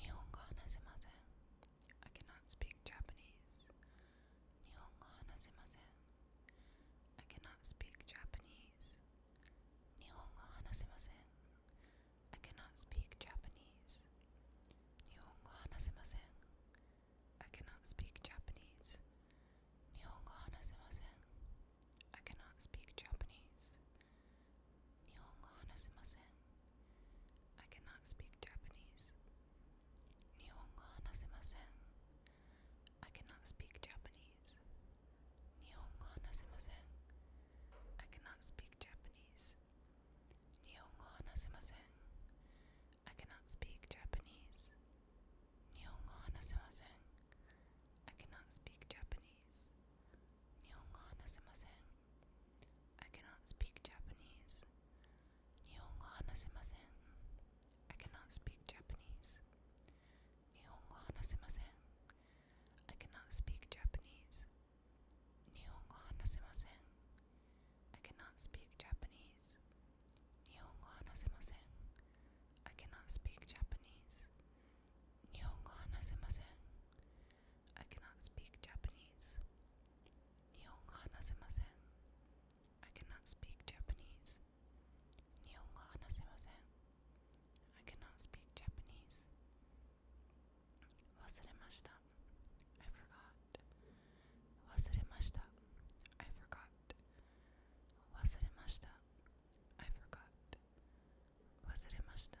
Nihongo hanasimasen. I cannot speak Japanese. Nihongo hanasimasen. I cannot speak Japanese. Nihongo hanasimasen. I cannot speak Japanese. Nihongo hanasimasen. I cannot speak Japanese. I cannot speak Japanese. Nihongo hanasimasen. I cannot speak Japanese. Nihongo hanasimasen. I cannot speak Japanese. Nihongo hanasimasen. I cannot speak Japanese. I cannot speak Japanese. I cannot speak Japanese. I cannot speak Japanese. Nihongo I cannot speak Japanese. Nihongo I cannot speak Japanese. Nihongo I cannot speak Japanese. Nihongo I cannot speak Japanese. Nihongo I cannot speak Japanese. I cannot speak Japanese. I cannot speak Japanese. Wasuremashita. I forgot. Wasuremashita. I forgot. I forgot.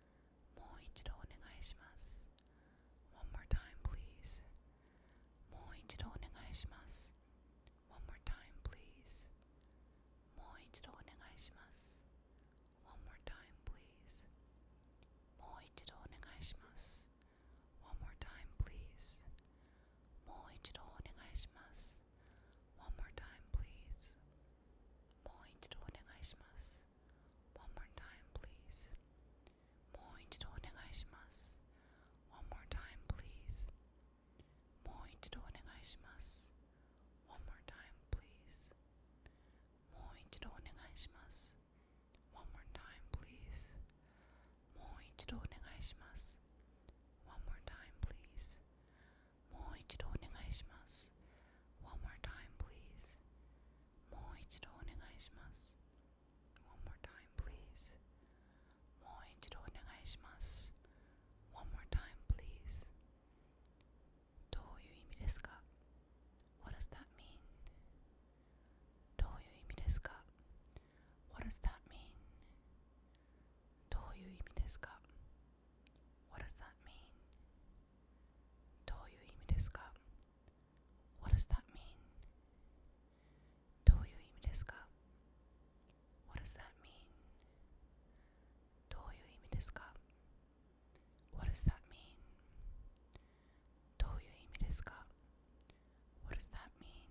もう一度お願いします。One more time, please. もう一度お願いします。One more time, please. もう一度お願いします。One more time, please. もう一度お願いします。One more time, please. もう一度お願いします。One more time, please. もう一度お願いします。please. One more time, please. もう一度お願いします。One more time, please. もう一度お願いします。One more time, please. もう一度お願いします。One more time, please. もう一度お願いします。One more time, please. もう一度お願いします。です。One more time, please. もう一度お願いします。One more time, please. もう一度お願いします。One more time, please. どういう意味ですか What does that mean? どういう意味ですか What does that mean? What does that mean? どういう意味ですか What does that mean? どういう意味ですか What does that mean? どういう意味ですか What does that mean? どういう意味ですか What does that mean?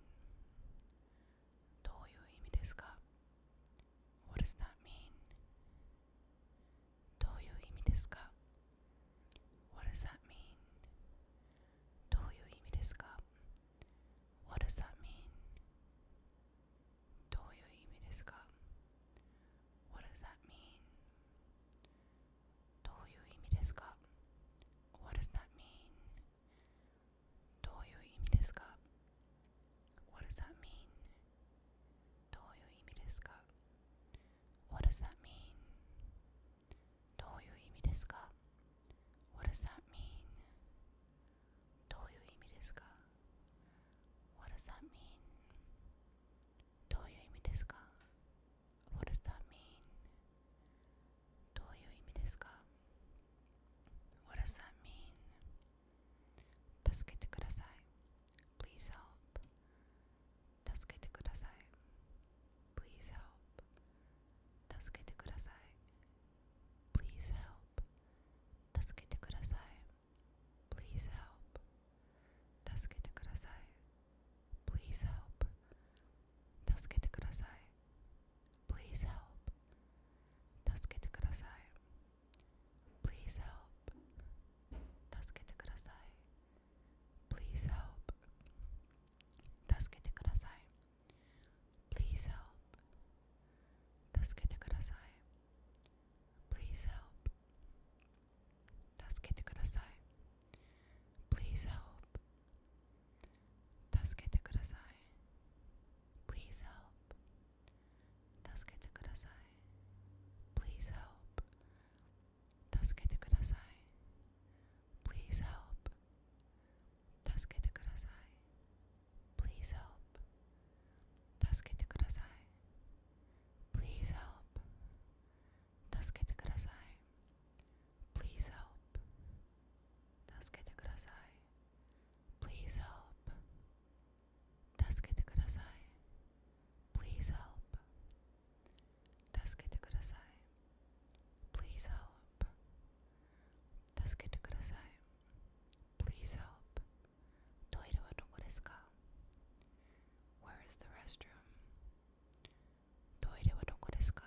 What does that mean? どういう意味ですか What does that mean? どういう意味ですか What does that mean? どういう意味ですか What does that mean? What does that mean? What does that mean? What does that mean? どういう意味ですか What does that mean? どういう意味ですか What does that mean? どういう意味ですか What does that mean? どういう意味ですか What does that mean? 助けてください。Please help. 助けてください。Please help. 助けてください。Please help. 助けてください。Please help. 助けてください。Please help. 助けてください。Please help. 助けてください。Please help. 助けてください。Please help. 助けてください。Please help. 助けてください。Please help. 助けてください。Please help. 助けてください。Please help. 助けてください。Please help. Tasukete kudasai. Please help. Tasukete kudasai. Please help. Please help. Please help. Please help. Please help. 助けてください Please help 助けてください Please help トイレはどこですか Where is the restroom? トイレはどこですか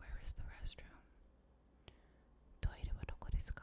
Where is the restroom? トイレはどこですか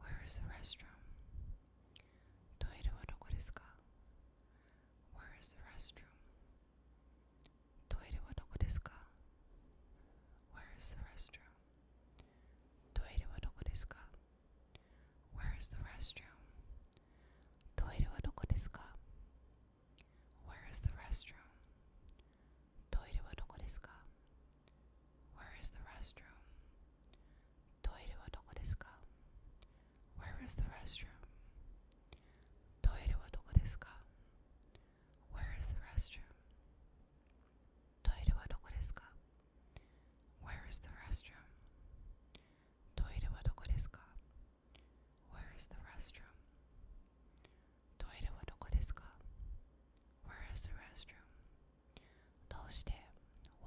Where is the restroom? Toire wa doko desu ka? Where is the restroom? Toire wa doko desu ka? Where is the restroom? Toire wa doko desu ka? Where is the restroom? Toire wa doko desu ka? Where is the restroom? トイレはどこですか ?Where is the restroom? トイレはどこですか ?Where is the restroom? トイレはどこですか ?Where is the restroom? トイレはどこですか ?Where is the restroom? トイレはどこですか ?Where is the restroom? どうして ?Why?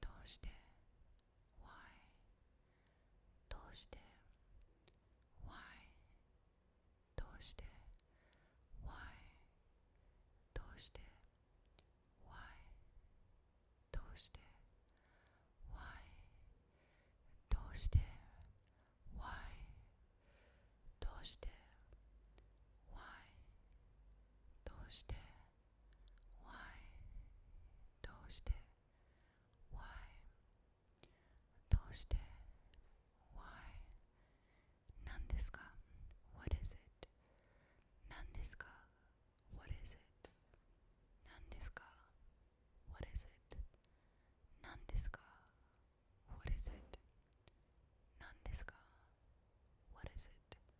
どうして Why どうして Why どうして Why どうしてどうしてどうしてどうしてどうして Why? どうして Why? どうして Why? 何ですか What is it? 何ですか What is it? 何ですか What is it? 何ですか What is it? 何ですか What is it?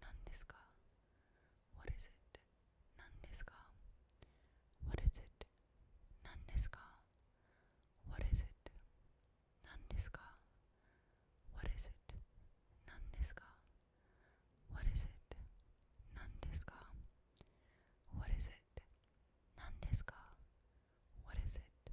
何ですか ?What is it? 何ですか ?What is it? 何ですか ?What is it? 何ですか ?What is it? 何ですか ?What is it? 何ですか ?What is it? 何ですか ?What is it?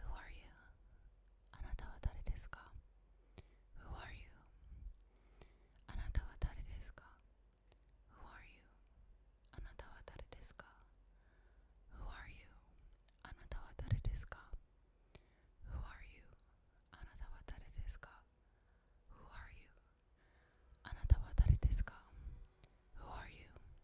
Who are you? Anata Who are you? Anata Who are you? Anata Who are you? Anata Who are you? Anata Who are you? Anata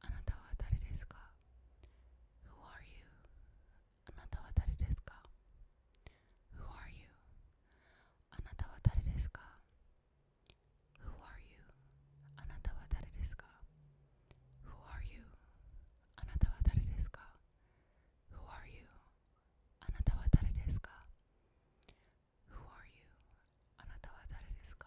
あなたは誰ですか Who are you? あなたは誰ですか Who are you? あなたは誰ですか Who are you? あなたは誰ですか Who are you? あなたは誰ですか Who are you? あなたは誰ですか Who are you? あなたは誰ですか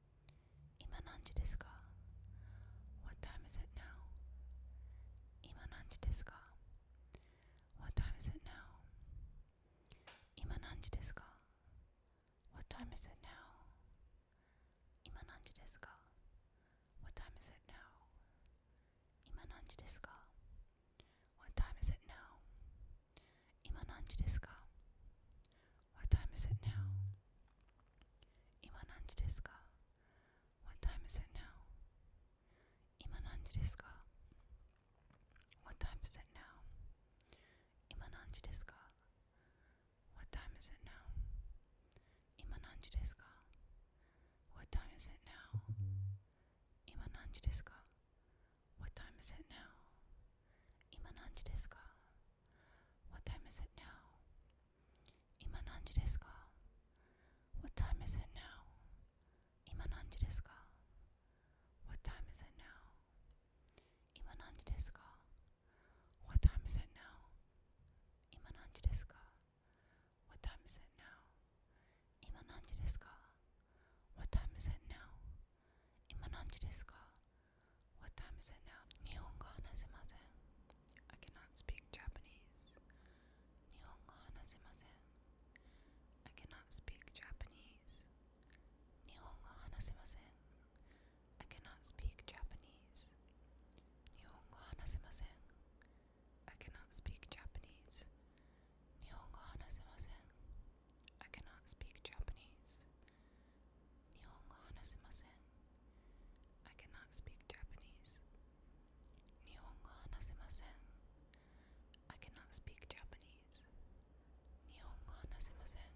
今何時ですか What time is it now? 今何時ですか What time is it now? 今何時ですか What time is it now? What time is it now? What time is it now? What time is it now? Ima nanji desu ka? What time is it now? What time is it now? What time is it now? What time is it now? What time is it now? What time is it now? 今何時ですか What time is it now? 今何時ですか What time is it now? 今何時ですか What time is it now? What time is it now? What time is it now? What time is it now? Nihongo hanasimasen. I cannot speak Japanese. I cannot speak Japanese. I cannot speak Japanese. I cannot speak Japanese. I cannot speak Japanese. Nihongo hanasemasen. I cannot speak Japanese. Nihongo hanasemasen. I cannot speak Japanese. Nihongo hanasemasen.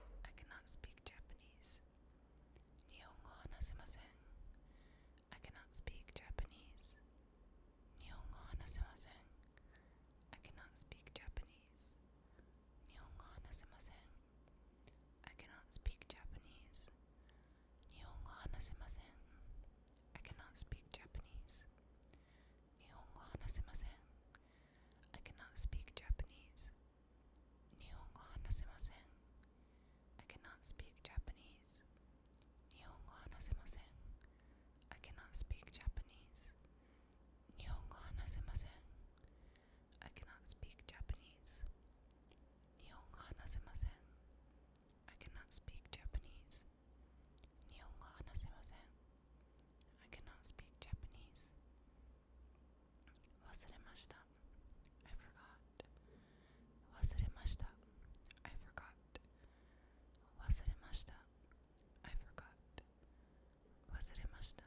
I cannot speak Japanese. I cannot speak Japanese. I cannot speak Japanese. I cannot speak Japanese. Nihongo I cannot speak Japanese. Nihongo I cannot speak Japanese. Nihongo I cannot speak Japanese. Nihongo I cannot speak Japanese. Nihongo I cannot speak Japanese. I cannot speak Japanese. I cannot speak Japanese. Wasuremashita. I forgot. Wasuremashita. I forgot. I forgot.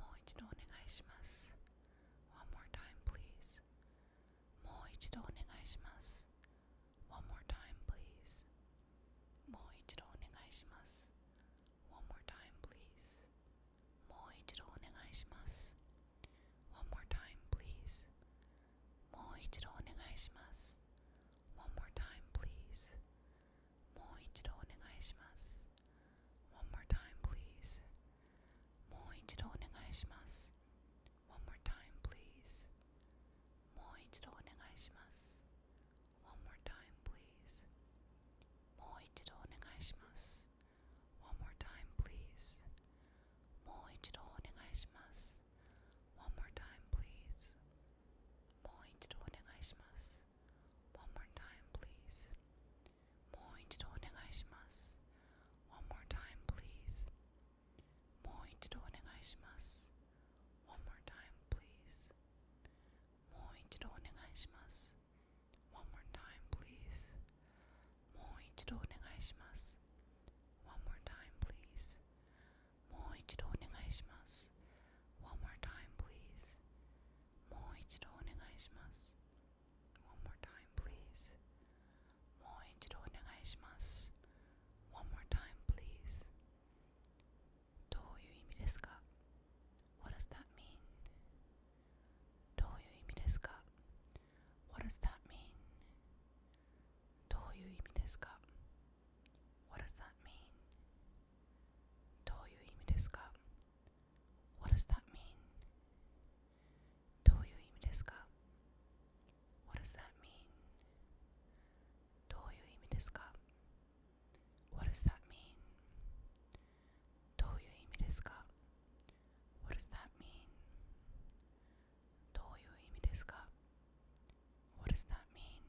もう一度お願いします。One more time, please. もう一度お願いします。One more time, please. もう一度お願いします。One more time, please. もう一度お願いします。One more time, please. もう一度お願いします。One more time, please. もう一度お願いします。One more time, please. もう一度お願いします。One more time, please. もう一度お願いします。One more time, please. もう一度お願いします。One more time, please. もう一度お願いします。One more time, please. もう一度お願いします。please. One more time, please. もう一度お願いします。One more time, please. もう一度お願いします。One more time, please. もう一度お願いします。One more time, please. もう一度お願いします。One more time, please. もう一度お願いします。One more time, please. もう一度お願いします One more time please One more time please どういう意味ですか What does that mean? What does that mean? What does that mean? どういう意味ですか What does that mean? どういう意味ですか What does that mean? どういう意味ですか What does that mean? どういう意味ですか What does that mean? What does that mean?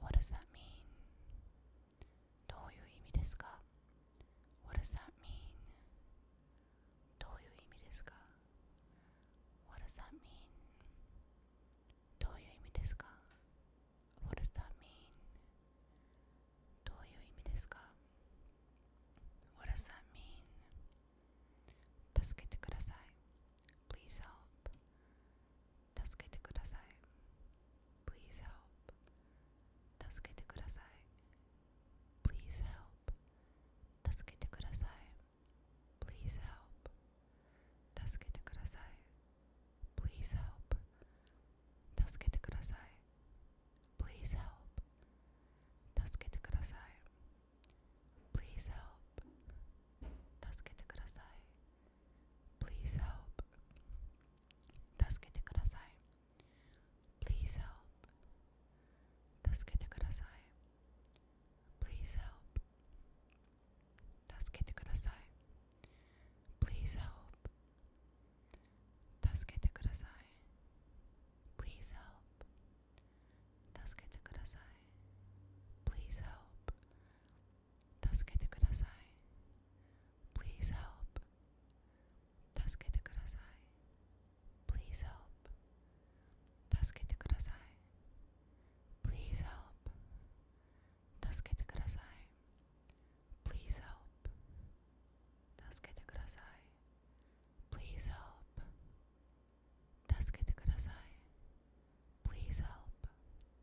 What does that mean? どういう意味ですか What does that mean? どういう意味ですか What does that mean? What does that mean? What does that mean? 助けてください。Please help. 助けてください Please help 助けてください Please help 助けてください Please help 助けてください Please help Please help Please help Please help. 助けてください。Please help. 助けてください。Please help. 助けてください。Please help. 助けてください。Please help. 助けてください。Please help. Tasukete kudasai. Please help. Tasukete kudasai. Please help. Please help. Please help. Please help. Please help.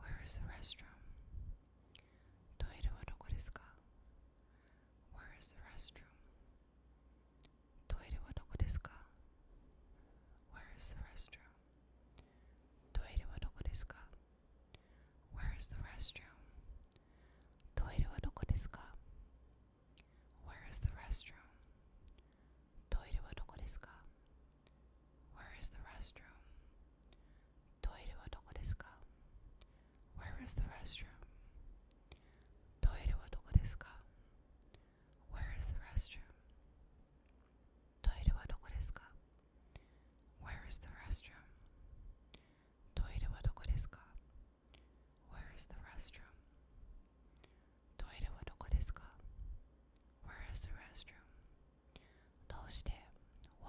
where is the restroom? Toire wa doko desu ka? Where is the restroom? Toire wa doko desu ka? Where is the restroom? Toire wa doko desu ka? Where is the restroom? Toire wa doko desu ka? Where is the restroom? トイレはどこですか ?Where is the restroom? トイレはどこですか ?Where is the restroom? トイレはどこですか ?Where is the restroom? トイレはどこですか ?Where is the restroom? トイレはどこですか ?Where is the restroom? どうして ?Why?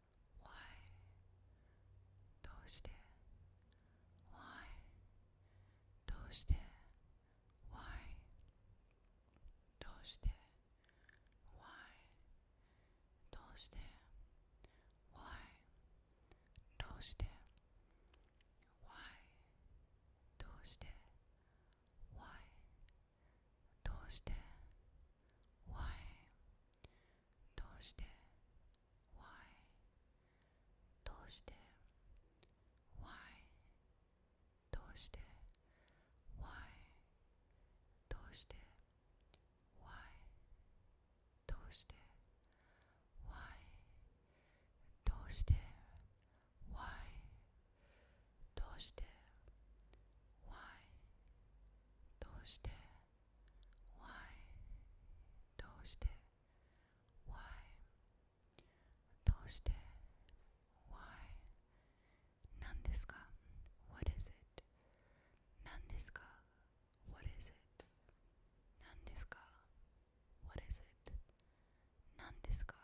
why? どうして Why? どうして Why? どうして Why? どうして Why? どうして Why? どうして Why? どうして Why? どうして Why? why どうして why どうして why どうして why どうして why どうして why どうして why どうして Why? どうして Why? どうして Why? 何ですか What is it? 何ですか What is it? 何ですか What is it? 何ですか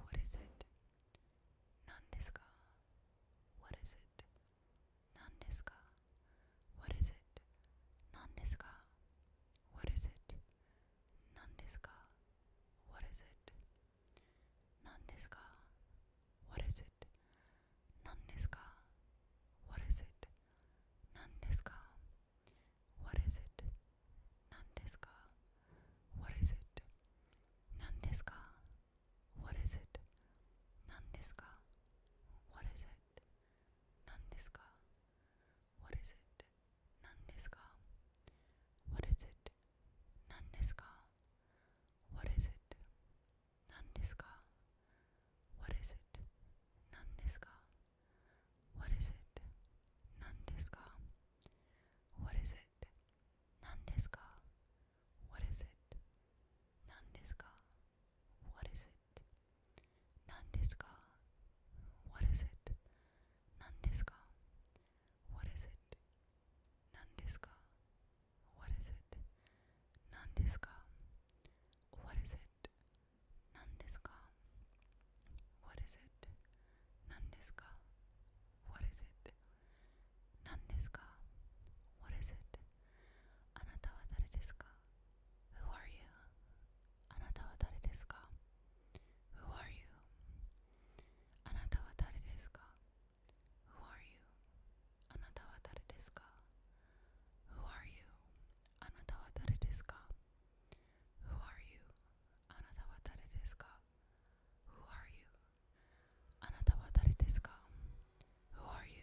What is it? 何ですか What is it? 何ですか ?What is it? 何ですか ?What is it? 何ですか ?What is it? 何ですか ?What is it? 何ですか ?What is it? 何ですか ?What is it? 何ですか ?What is it? 何ですか ?What is it? 何ですか ?What is it? 何ですか ?What is it? 何ですか ?What is it? 何ですか ?What is it? 何ですか ?What is it? 何ですか ?What is it? 何ですか ?What is it? 何ですか ?What is it? 何ですか ?What is it? 何ですか ?What is it? 何ですか ?What is it? 何ですか ?What is it? 何ですか ?What is it? 何ですか ?What is it? 何ですか ?What is it? 何ですか ?What is it? あなたは誰ですか Who are you? あなたは誰ですか Who are you? あなたは誰ですか Who are you? あなたは誰ですか Who are you? あなたは誰ですか Who are you? あなたは誰ですか Who are you?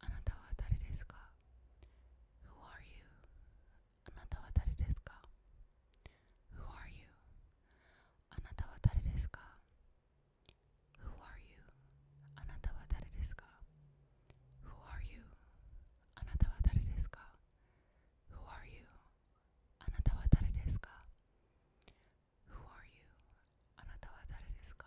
あなたは誰ですか Who are you? あなたは誰ですか Who are you? あなたは誰ですか Who are you? あなたは誰ですか Who are you? あなたは誰ですか Who are you? あなたは誰ですか Who are you? あなたは誰ですか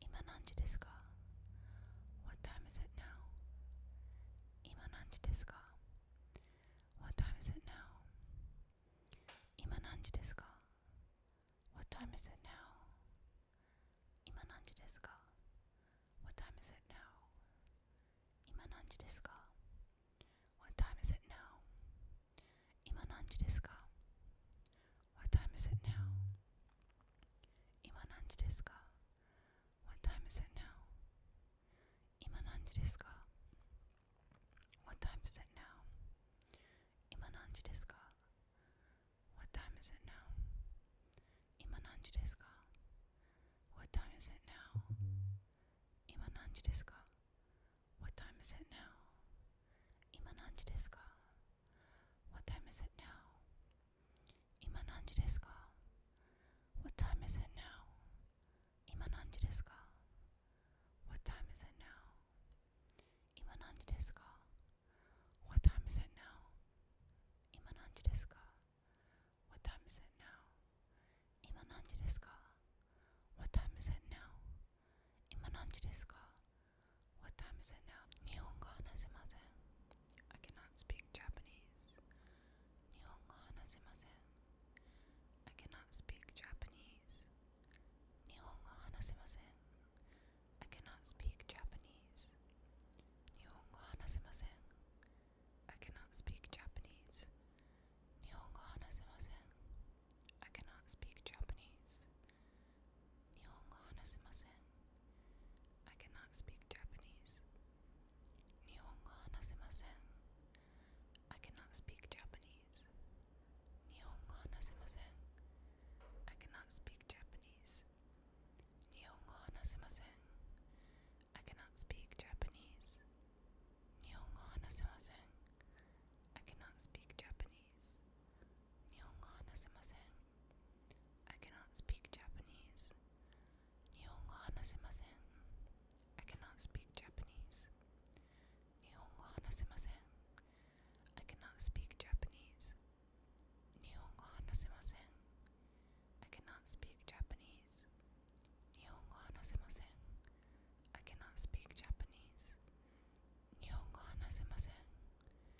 今何時ですか What time is it now? 今何時ですか What time is it now? 今何時ですか What time is it now? What time is it now? What time is it now? What time is it now? Ima nanji desu ka? What time is it now? What time is it now? What time is it now? What time is it now? What time is it now? What time is it now? 今何時ですか What time is it now? 今何時ですか What time is it now? 今何時ですか What time is it now? What time is it now? What time is it now? What time is it now? Nihongo hanasimasen. I cannot speak Japanese. I cannot speak Japanese. I cannot speak Japanese. I cannot speak Japanese. I cannot speak Japanese. Nihongo hanasemasen. I cannot speak Japanese. Nihongo hanasemasen. I cannot speak Japanese. Nihongo hanasemasen. I cannot speak Japanese. I cannot speak Japanese. I cannot speak Japanese. I cannot speak Japanese. Nihongo I cannot speak Japanese. Nihongo I cannot speak Japanese. Nihongo I cannot speak Japanese. Nihongo I cannot speak Japanese. Nihongo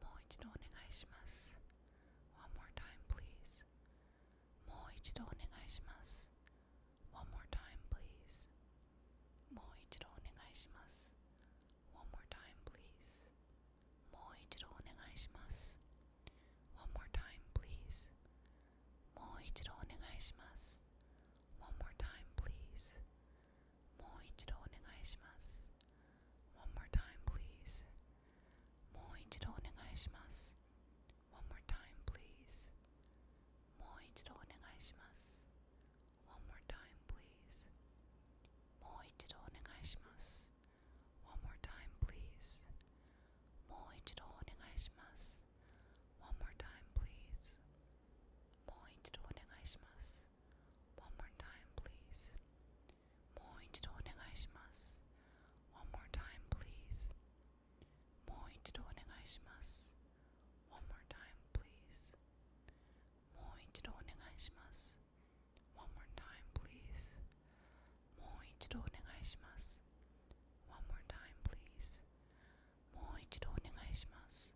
もう一度お願いします。One more time, please. もう一度お願いします。One more time, please. もう一度お願いします。One more time, please. もう一度お願いします。One more time, please. もう一度お願いします。One more time, please. もう一度お願いします。One more time, please. もう一度お願いします。One more time, please. もう一度お願いします。One more time, please. もう一度お願いします。One more time, please. もう一度お願いします。One more time, please. もう一度お願いします。please. One more time, please. もう一度お願いします。One more time, please. もう一度お願いします。One more time, please. もう一度お願いします。One more time, please. もう一度お願いします。One more time, please. もう一度お願いします。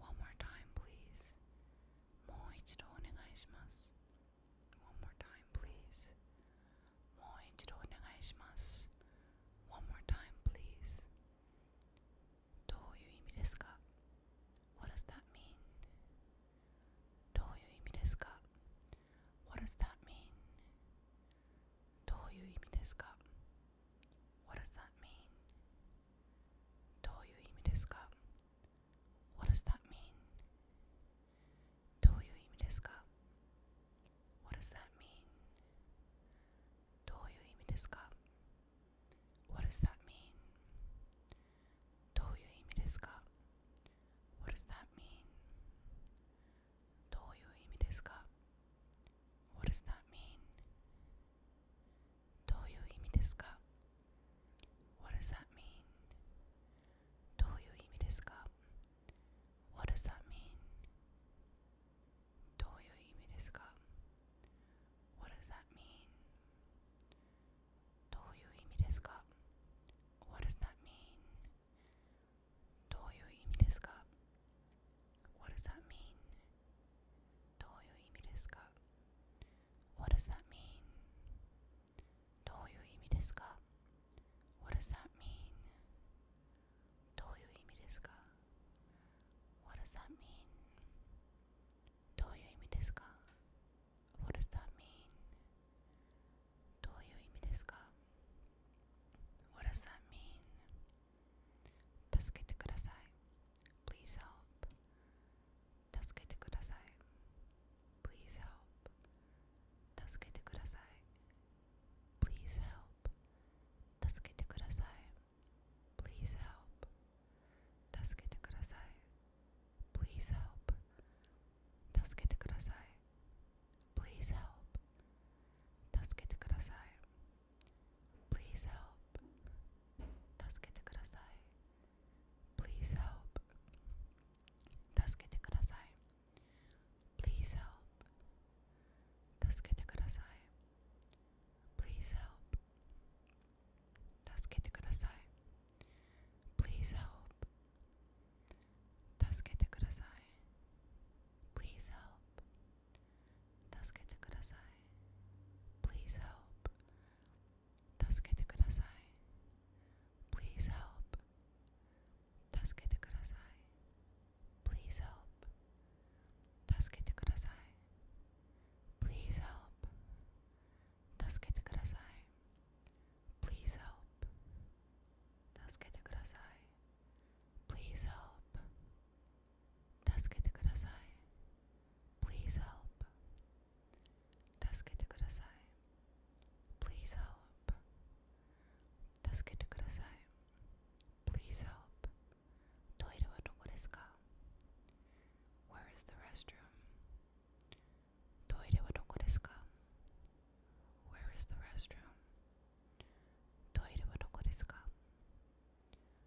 One more time, please. もう一度お願いします。One more time, please. もう一度お願いします。One more time, please. What does that mean? What does that mean? What does that mean? どういう意味ですか What does that mean? どういう意味ですか What does that mean? どういう意味ですか What does that mean? どういう意味ですか What does that mean? What does that mean? What does that mean? どういう意味ですか What does that mean? What does that mean? What does that mean? What does that mean? What does that mean? どういう意味ですか What does that mean? どういう意味ですか What does that mean? What does that mean? What does that mean? 助けてください。Please help. 助けてください Please help 助けてください Please help 助けてください Please help 助けてください Please help Please help Please help Please help. 助けてください。Please help. 助けてください。Please help. 助けてください。Please help. 助けてください。Please help. 助けてください。Please help. 助けてください Please help 助けてください Please help Please help Please help Please help Please help 助けてください Please help 助けてください Please help トイレはどこですか Where is the restroom? トイレはどこですか Where is the restroom? トイレはどこですか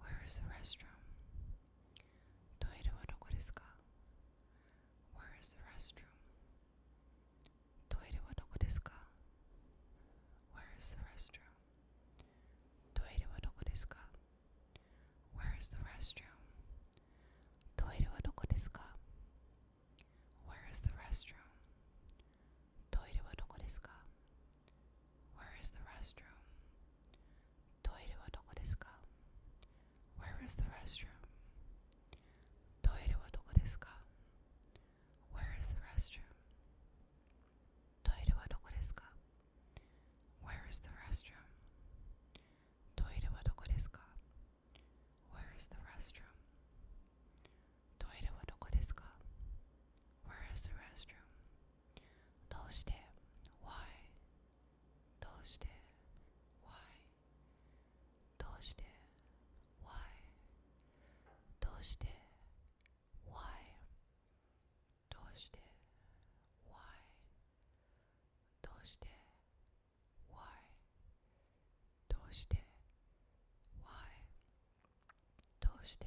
Where is the restroom? Toire wa doko desu ka? Where is the restroom? Toire wa doko desu ka? Where is the restroom? Toire wa doko desu ka? Where is the restroom? Toire wa doko desu ka? Where is the restroom? トイレはどこですか ?Where is the restroom? トイレはどこですか ?Where is the restroom? トイレはどこですか ?Where is the restroom? トイレはどこですか ?Where is the restroom? トイレはどこですか ?Where is the restroom? どうして ?Why? どうして Why どうして Why どうして Why どうして Why どうして Why どうして Why どうして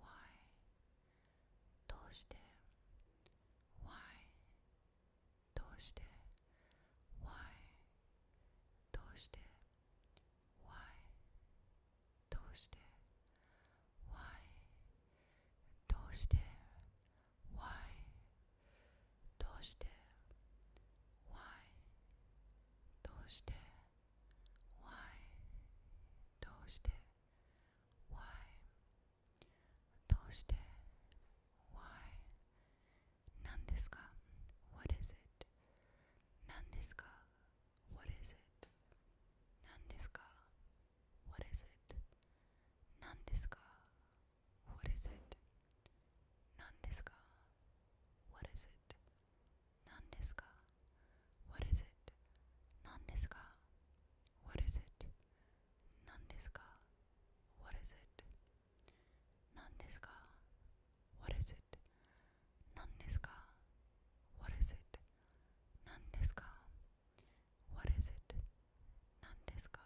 Why? どうして Why? どうして Why? どうして Why? どうして Why? どうして Why? どうして Why? どうして Why? どうして Why? どうして Why? 何ですか What is it? 何ですか What is it? 何ですか What is it? 何ですか What is it? 何ですか What is it? 何ですか ?What is it? 何ですか ?What is it? 何ですか ?What is it? 何ですか ?What is it? 何ですか ?What is it? 何ですか ?What is it? 何ですか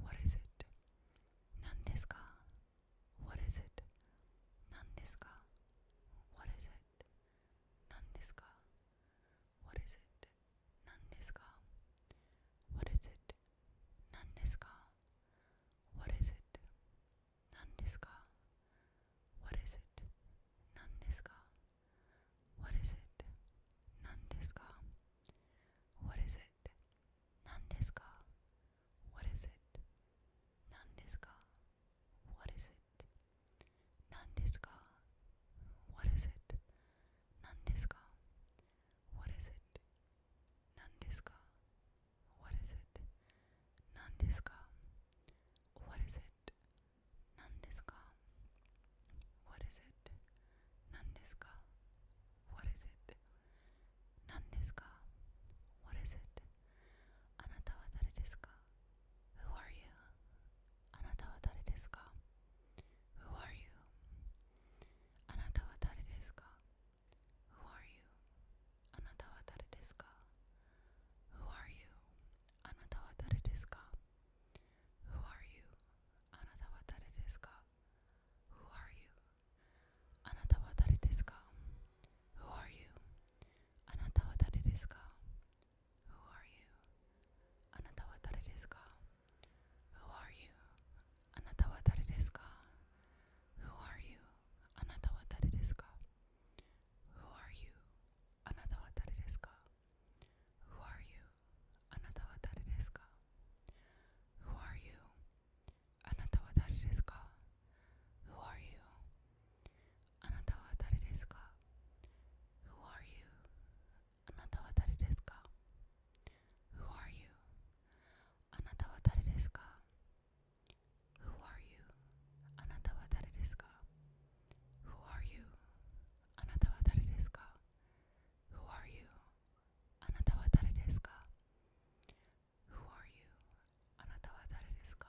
?What is it? 何ですか ?What is it? 何ですか ?What is it? 何ですか ?What is it? 何ですか ?What is it? 何ですか ?What is it? 何ですか ?What is it? 何ですか ?What is it? 何ですか ?What is it? 何ですか ?What is it? 何ですか What is it? 何ですか What is it? 何ですか What is it? 何ですか What is it? 何ですか What is it? 何ですか What is it? 何ですか What is it? 何ですか What is it? あなたは誰ですか Who are you? あなたは誰ですか Who are you? あなたは誰ですか Who are you? あなたは誰ですか Who are you? あなたは誰ですか Who are you? あなたは誰ですか Who are you? あなたは誰ですかあなたは誰ですか Who are you? Who are you? Who are you? Who are you? Who are you? Who are you? Who are you? あなたは誰ですか Who are you? あなたは誰ですか Who are you? あなたは誰ですか Who are you? あなたは誰ですか Who are you? あなたは誰ですか Who are you? あなたは誰ですか Who are you? あなたは誰ですか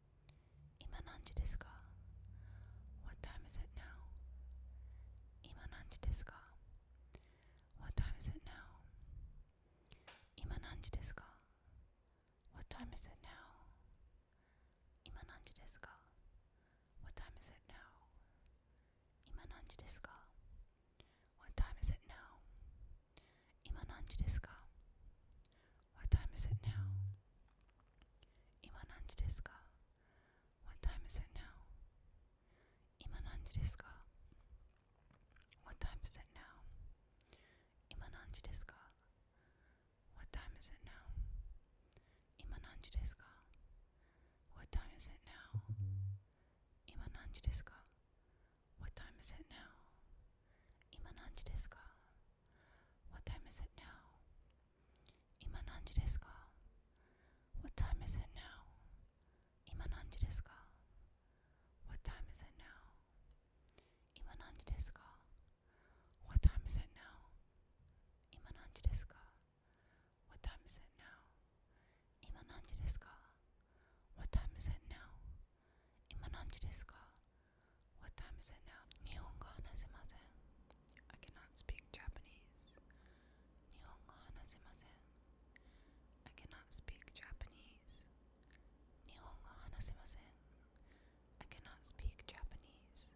今何時ですか What time is it now? 今何時ですか What time is it now? What time is it now? What time is it now? What time is it now? What time is it now? Ima nanji desu ka? What time is it now? What time is it now? What time is it now? What time is it now? What time is it now? What time is it now? 今何時ですか What time is it now? 今何時ですか What time is it now? 今何時ですか What time is it now? What time is it now? What time is it now? What time is it now? Nihongo hanasimasen. I cannot speak Japanese. I cannot speak Japanese. I cannot speak Japanese. I cannot speak Japanese.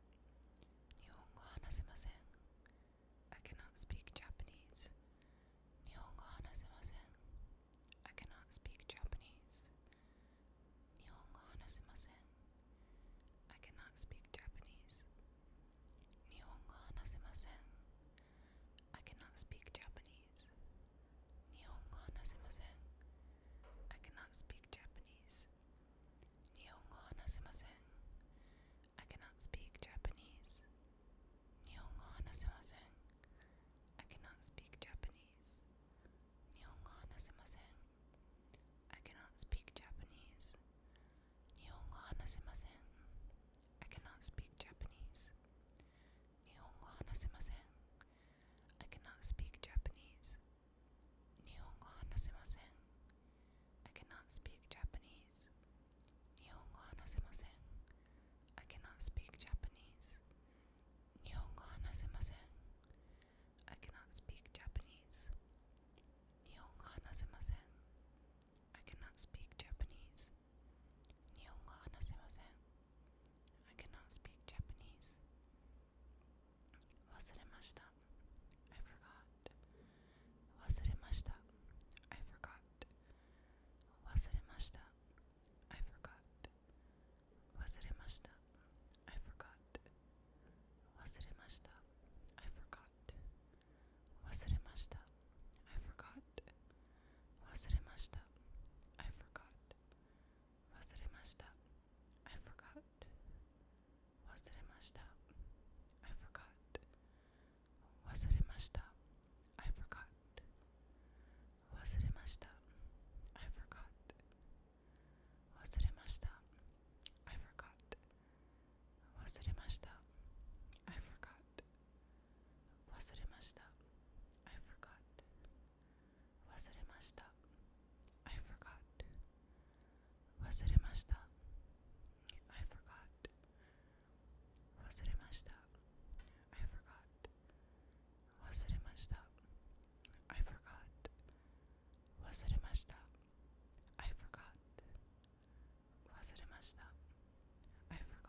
I cannot speak Japanese. Nihongo hanasemasen. I cannot speak Japanese. Nihongo hanasemasen. I cannot speak Japanese. Nihongo hanasemasen. I cannot speak Japanese. I cannot speak Japanese. I cannot speak Japanese. I cannot speak Japanese. Nihongo I cannot speak Japanese. Nihongo I cannot speak Japanese. Nihongo I cannot speak Japanese. Nihongo I cannot speak Japanese. Nihongo I cannot speak Japanese. Nihongo hanasemasen. I cannot speak Japanese. Nihongo hanasemasen. I cannot speak Japanese. Wasuremashita. I forgot. Wasuremashita. I forgot. Wasuremashita. I forgot. Wasuremashita. I forgot. Wasirimashita. I forgot. Wasirimashita. I forgot. I forgot. I forgot. I forgot. I forgot. I forgot. Wasuremashita. I forgot. Wasuremashita. I forgot. Wasuremashita. I forgot. Wasuremashita. I forgot. I forgot. I forgot. I forgot. I forgot. I forgot. I forgot. I forgot.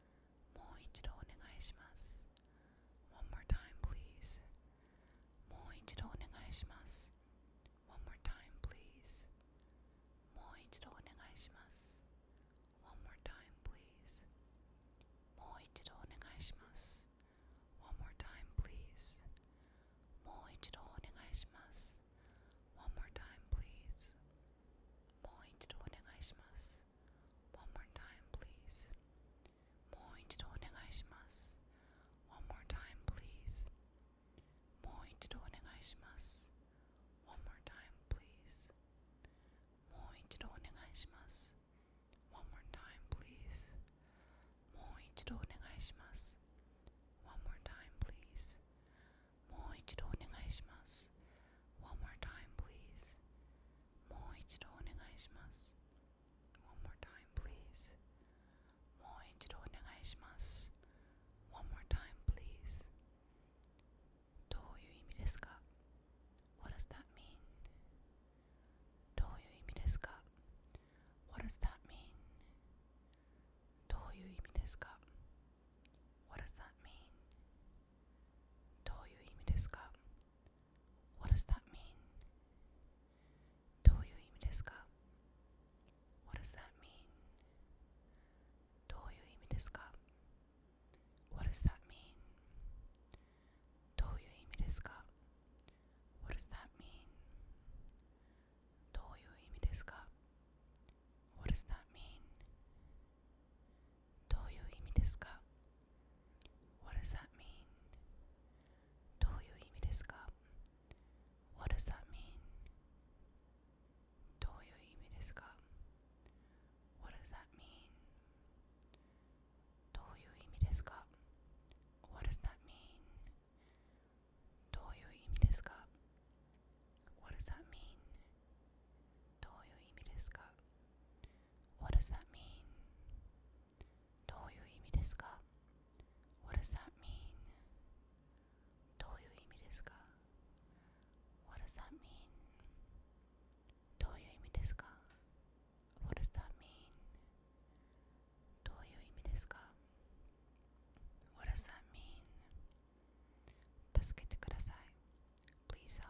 もう一度お願いします。One more time, please. もう一度お願いします。One more time, please. もう一度お願いします。One more time, please. もう一度お願いします。One more time, please. もう一度お願いします。One more time, please. もう一度お願いします。ます。One more time, please. もう一度お願いします。One more time, please. もう一度お願いします。One more time, please. もう一度お願いします。One more time, please. もう一度お願いします。One more time, please. もう一度お願いします。One more time, please. もう一度お願いします One more time please One more time please どういう意味ですか What does that mean? What does that mean? What does that mean? どういう意味ですか What does that mean? どういう意味ですか What does that mean? どういう意味ですか What does that mean? どういう意味ですか What does that mean? どういう意味ですか What does that mean? どういう意味ですか What does that mean? どういう意味ですか What does that mean? What does that mean? What does that mean? What does that mean? What does that mean? どういう意味ですか What does that mean? What does that mean? What does that mean? What does that mean? 助けてください。Please help.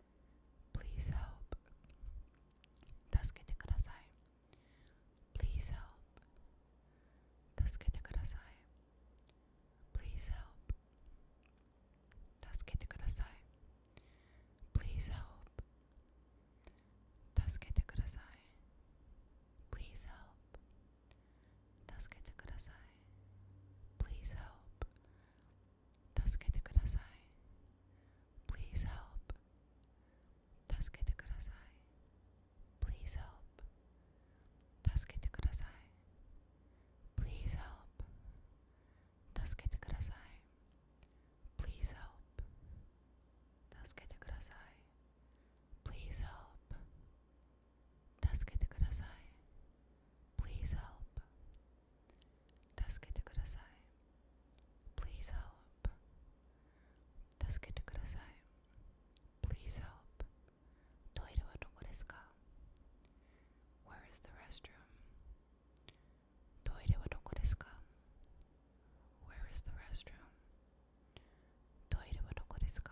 Please help. 助けてください。Please help. 助けてください。Please help. 助けてください。Please help. 助けてください。Please help. 助けてください。Please help. 助けてください Please help 助けてください Please help Please help Please help Please help Please help 助けてください Please help 助けてください Please help トイレはどこですか Where is the restroom? トイレはどこですか Where is the restroom? トイレはどこですか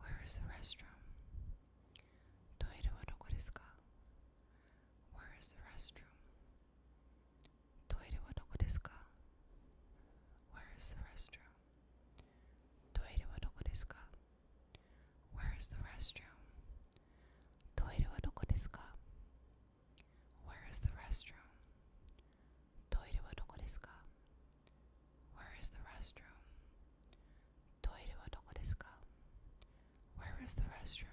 Where is the restroom? Toire wa doko desu ka? Where is the restroom? Toire wa doko desu ka? Where is the restroom? Toire wa doko desu ka? Where is the restroom? Toire wa doko desu ka? Where is the restroom? Toire wa doko desu ka? トイレはどこですか ?Where is the restroom?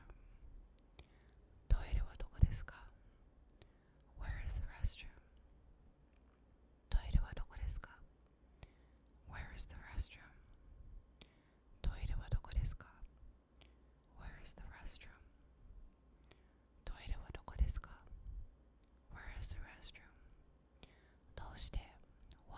トイレはどこですか ?Where is the restroom? トイレはどこですか ?Where is the restroom? トイレはどこですか ?Where is the restroom? トイレはどこですか ?Where is the restroom? どうして ?Why?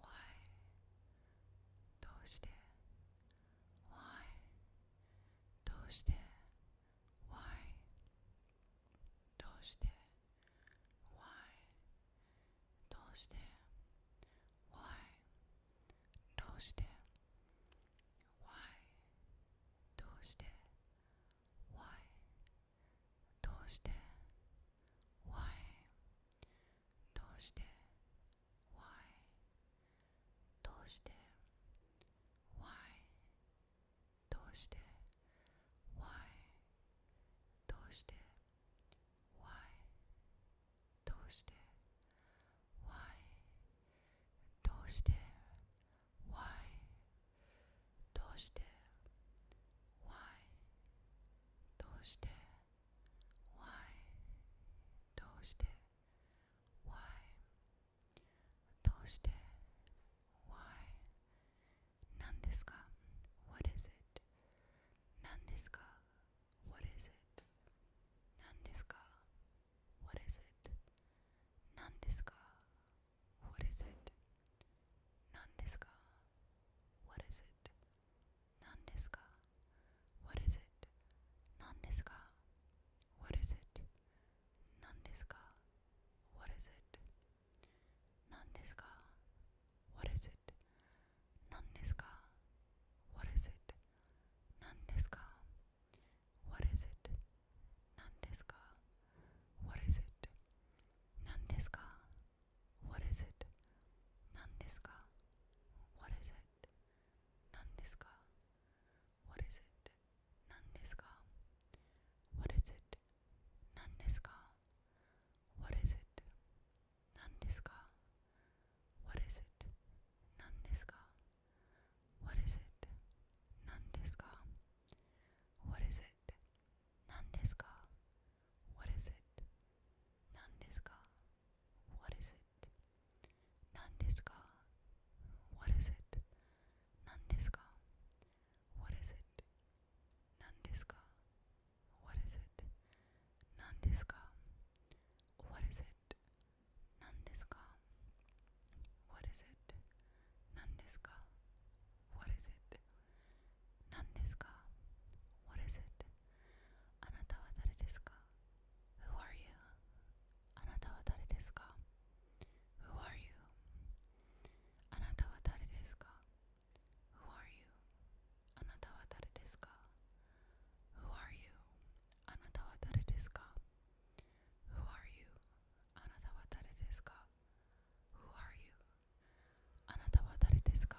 why? どうして Why? どうして Why? どうして Why? どうして Why? どうして Why? どうして Why? どうして Why? どうして Why? Why? どうして Why? どうして Why? どうして Why? どうして Why? どうして Why? どうして Why? どうして Why? どうして Why? どうして Why? 何ですか What is it? 何ですか What is it? 何ですか What is it? 何ですか What is it? 何ですか What is it? 何ですか ?What is it? 何ですか ?What is it? 何ですか ?What is it? 何ですか ?What is it? 何ですか ?What is it? 何ですか ?What is it? 何ですか ?What is it? 何ですか ?What is it? 何ですか ?What is it? 何ですか ?What is it? 何ですか ?What is it? 何ですか ?What is it? 何ですか ?What is it? 何ですか ?What is it? 何ですか ?What is it? 何ですか ?What is it? 何ですか What is it? 何ですか What is it? 何ですか What is it? 何ですか What is it? 何ですか What is it? 何ですか What is it? 何ですか What is it? 何ですか What is it? あなたは誰ですか Who are you? あなたは誰ですか Who are you? あなたは誰ですか Who are you? あなたは誰ですか Who are you? あなたは誰ですか Who are you? あなたは誰ですか Who are you? あなたは誰ですか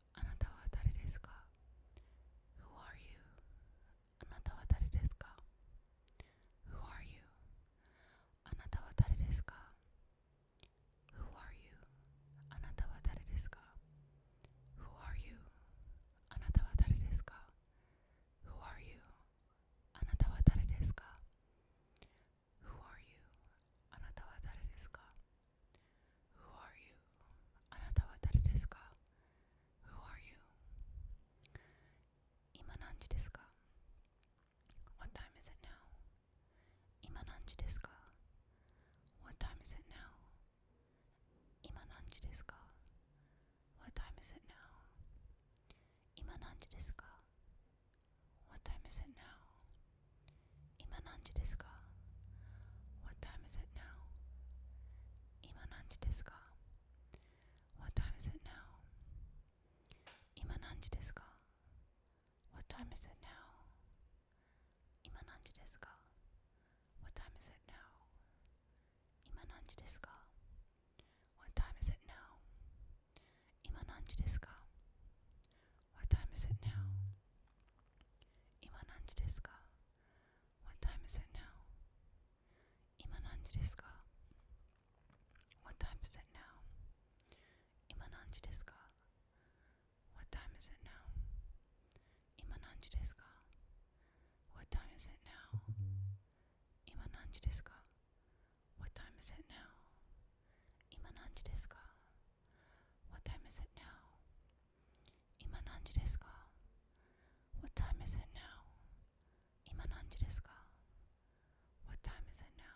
Anata wa dare Who are you? Anata wa dare Who are you? Anata wa dare Who are you? Anata wa dare Who are you? Who are you? Who are you? Who are you? Anata Who are you? Ima What time is it now? Ima What time is it now? Ima What time is it now? Ima What time is it now? 今何時ですか What time is it now? 今何時ですか What time is it now? 今何時ですか What time is it now? What time is it now? What time is it now? What time is it now? What time is it now? What time is it now? What time is it now? What time is it now? What time is it now? What time is it now? 今何時ですか ?What time is it now? 今何時ですか ?What time is it now?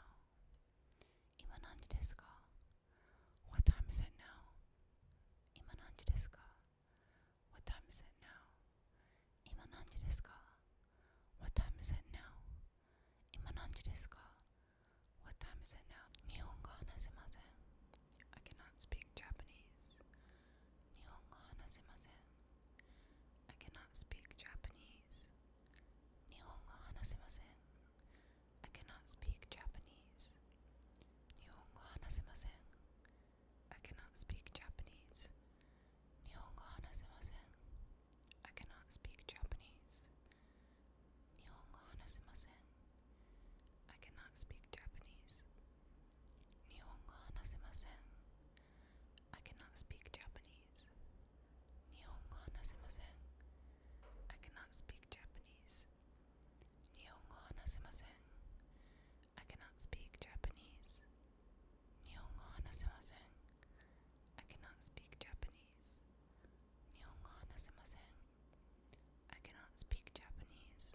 今何時ですか ?What time is it now? ?What time is it now? ?What time is it now? What time is it now? Nihongo hanasimasen. I cannot speak Japanese. I cannot speak Japanese. I cannot speak Japanese. I cannot speak Japanese. I cannot speak Japanese. Nihongo hanasemasen. I cannot speak Japanese. Nihongo hanasemasen. I cannot speak Japanese. Nihongo hanasemasen. I cannot speak Japanese. I cannot speak Japanese. I cannot speak Japanese. I cannot speak Japanese.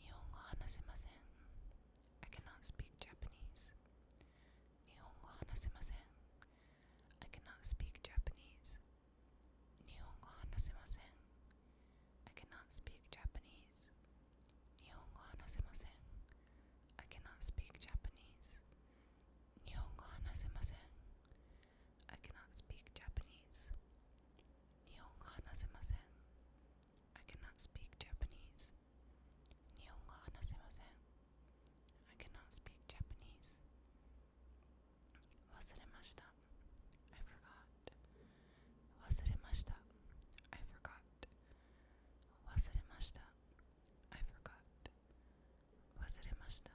Nihongo I cannot speak Japanese. Nihongo I cannot speak Japanese. Nihongo I cannot speak Japanese. Nihongo I cannot speak Japanese. Nihongo I cannot speak Japanese. Nihongo hanasemasen. I cannot speak Japanese. Nihongo hanasemasen. I cannot speak Japanese. Wasuremashita. I forgot. Wasuremashita. I forgot. Wasuremashita. I forgot. Wasuremashita.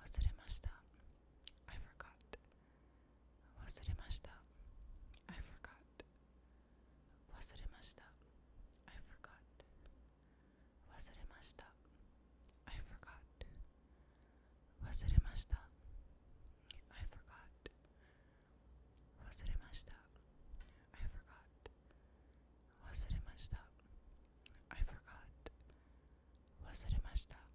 Wasuremashita. I forgot. Wasuremashita. I forgot. Wasuremashita. I forgot. Wasuremashita. I forgot. I forgot. I forgot. I forgot.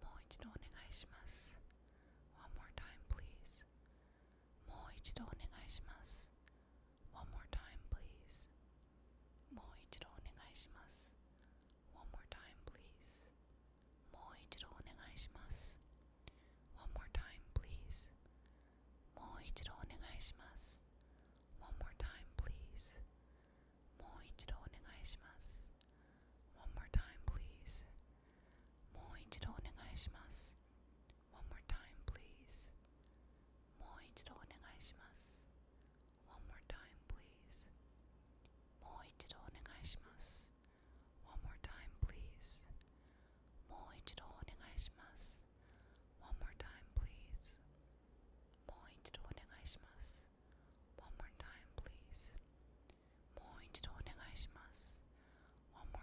もう一度お願いします。One more time, please. もう一度お願いします。One more time, please. もう一度お願いします。One more time, please. もう一度お願いします。One more time, please. もう一度お願いします。One more time, please. もう一度お願いします。One more time, please. もう一度お願いします。One more time, please. もう一度お願いします。One more time, please. もう一度お願いします。One more time, please. もう一度お願いします。One more time, please. もう一度お願いします。ます。One more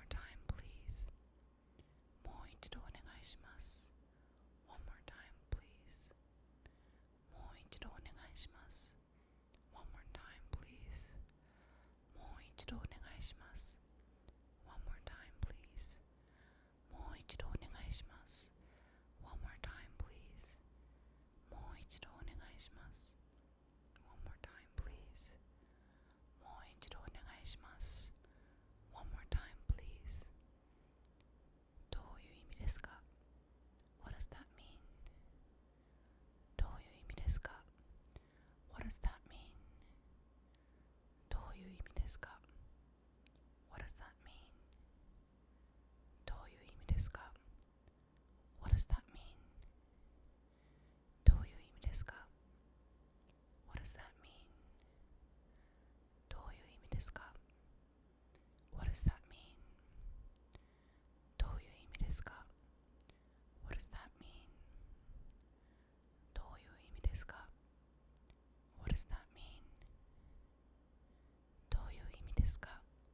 time, please. もう一度お願いします。One more time, please. もう一度お願いします。One more time, please. もう一度お願いします。One more time, please. もう一度お願いします。One more time, please. もう一度お願いします。One more time, please. もう一度お願いします。One more time, please. もう一度お願いします。One more time, please. どういう意味ですか What does that mean? What does that mean? What does that mean? どういう意味ですか What does that mean? どういう意味ですか What does that mean? どういう意味ですか What does that mean? どういう意味ですか What does that mean? どういう意味ですか What does that mean? どういう意味ですか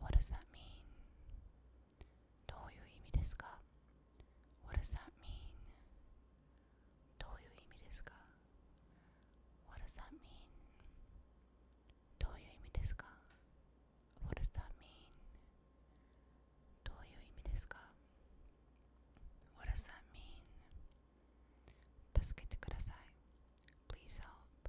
What does that mean? どういう意味ですか What does that mean? どういう意味ですか What does that mean? What does that mean? What does that mean? 助けてください。Please help.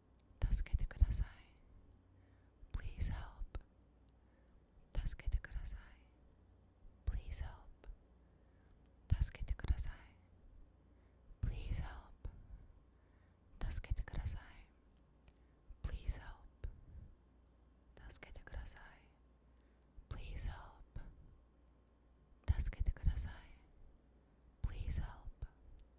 助けてください Please help 助けてください Please help 助けてください Please help 助けてください Please help 助けてください Please help 助けてください Please help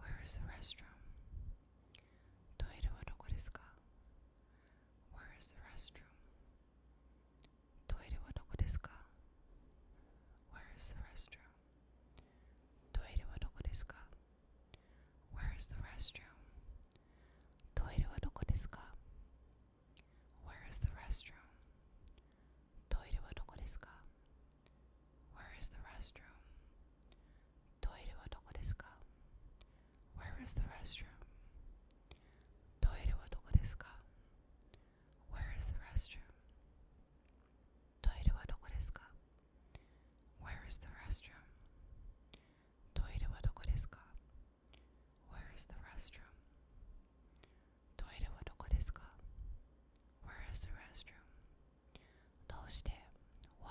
where is the restroom? Toire wa doko Where is the restroom? Toire wa doko Where is the restroom? Toire wa doko Where is the restroom? Toire wa doko Where is the restroom? Toire wa doko Where is the restroom? トイレはどこですか ?Where is the restroom? トイレはどこですか ?Where is the restroom? トイレはどこですか ?Where is the restroom? トイレはどこですか ?Where is the restroom? トイレはどこですか ?Where is the restroom? どうして ?Why?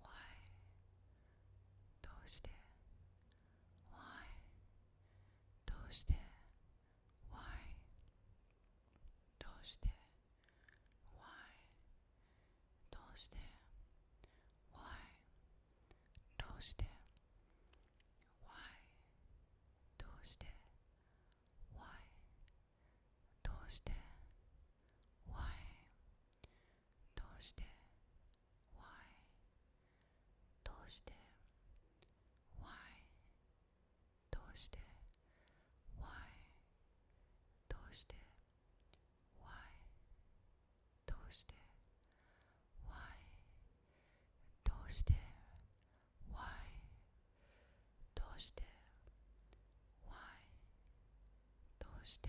why? どうして Why? どうして Why? どうして Why? どうして Why? どうして Why? どうして Why? どうして Why? どうして Why? Why? どうして Why? どうして Why? どうして Why? どうして Why? どうして Why? どうして Why? どうして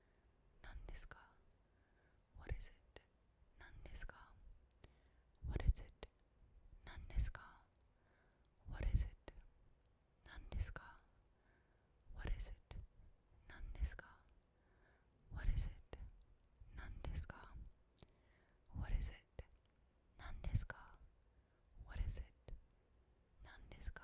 何ですか ?What is it? 何ですか ?What is it? 何ですか ?What is it? 何ですか ?What is it? 何ですか ?What is it? 何ですか ?What is it? 何ですか ?What is it? 何ですか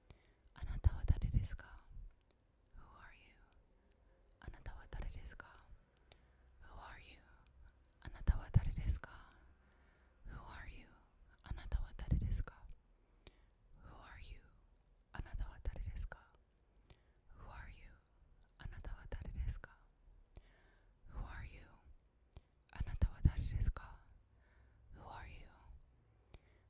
あなたは誰ですか Who are you? Who are you? Who are you? Who are you? Who are you? Who are you? Who are you?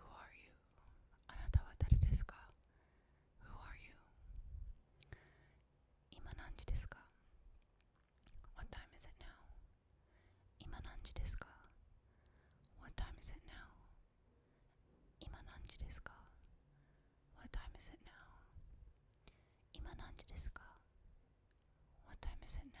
who are you? あなたは誰ですか Who are you? 今何時ですか What time is it now? 今何時ですか What time is it now? 今何時ですか What time is it now? 今何時ですか What time is it now?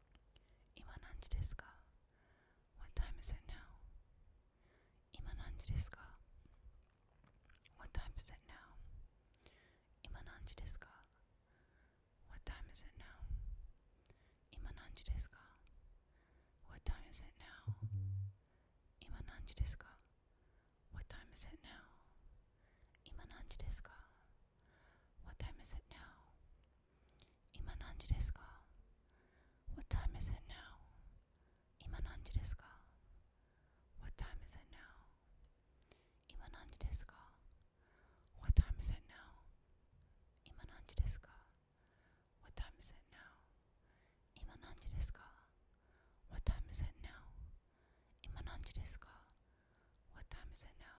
今何時ですか What time is it now? 今何時ですか What time is it now? 今何時ですか What time is it now? 今何時ですか What time is it now? What time is it now? What time is it now? 今何時ですか What time is it now? 今何時ですか What time is it now? 今何時ですか What time is it now? 今何時ですか What time is it now? 今何時ですか What time is it now?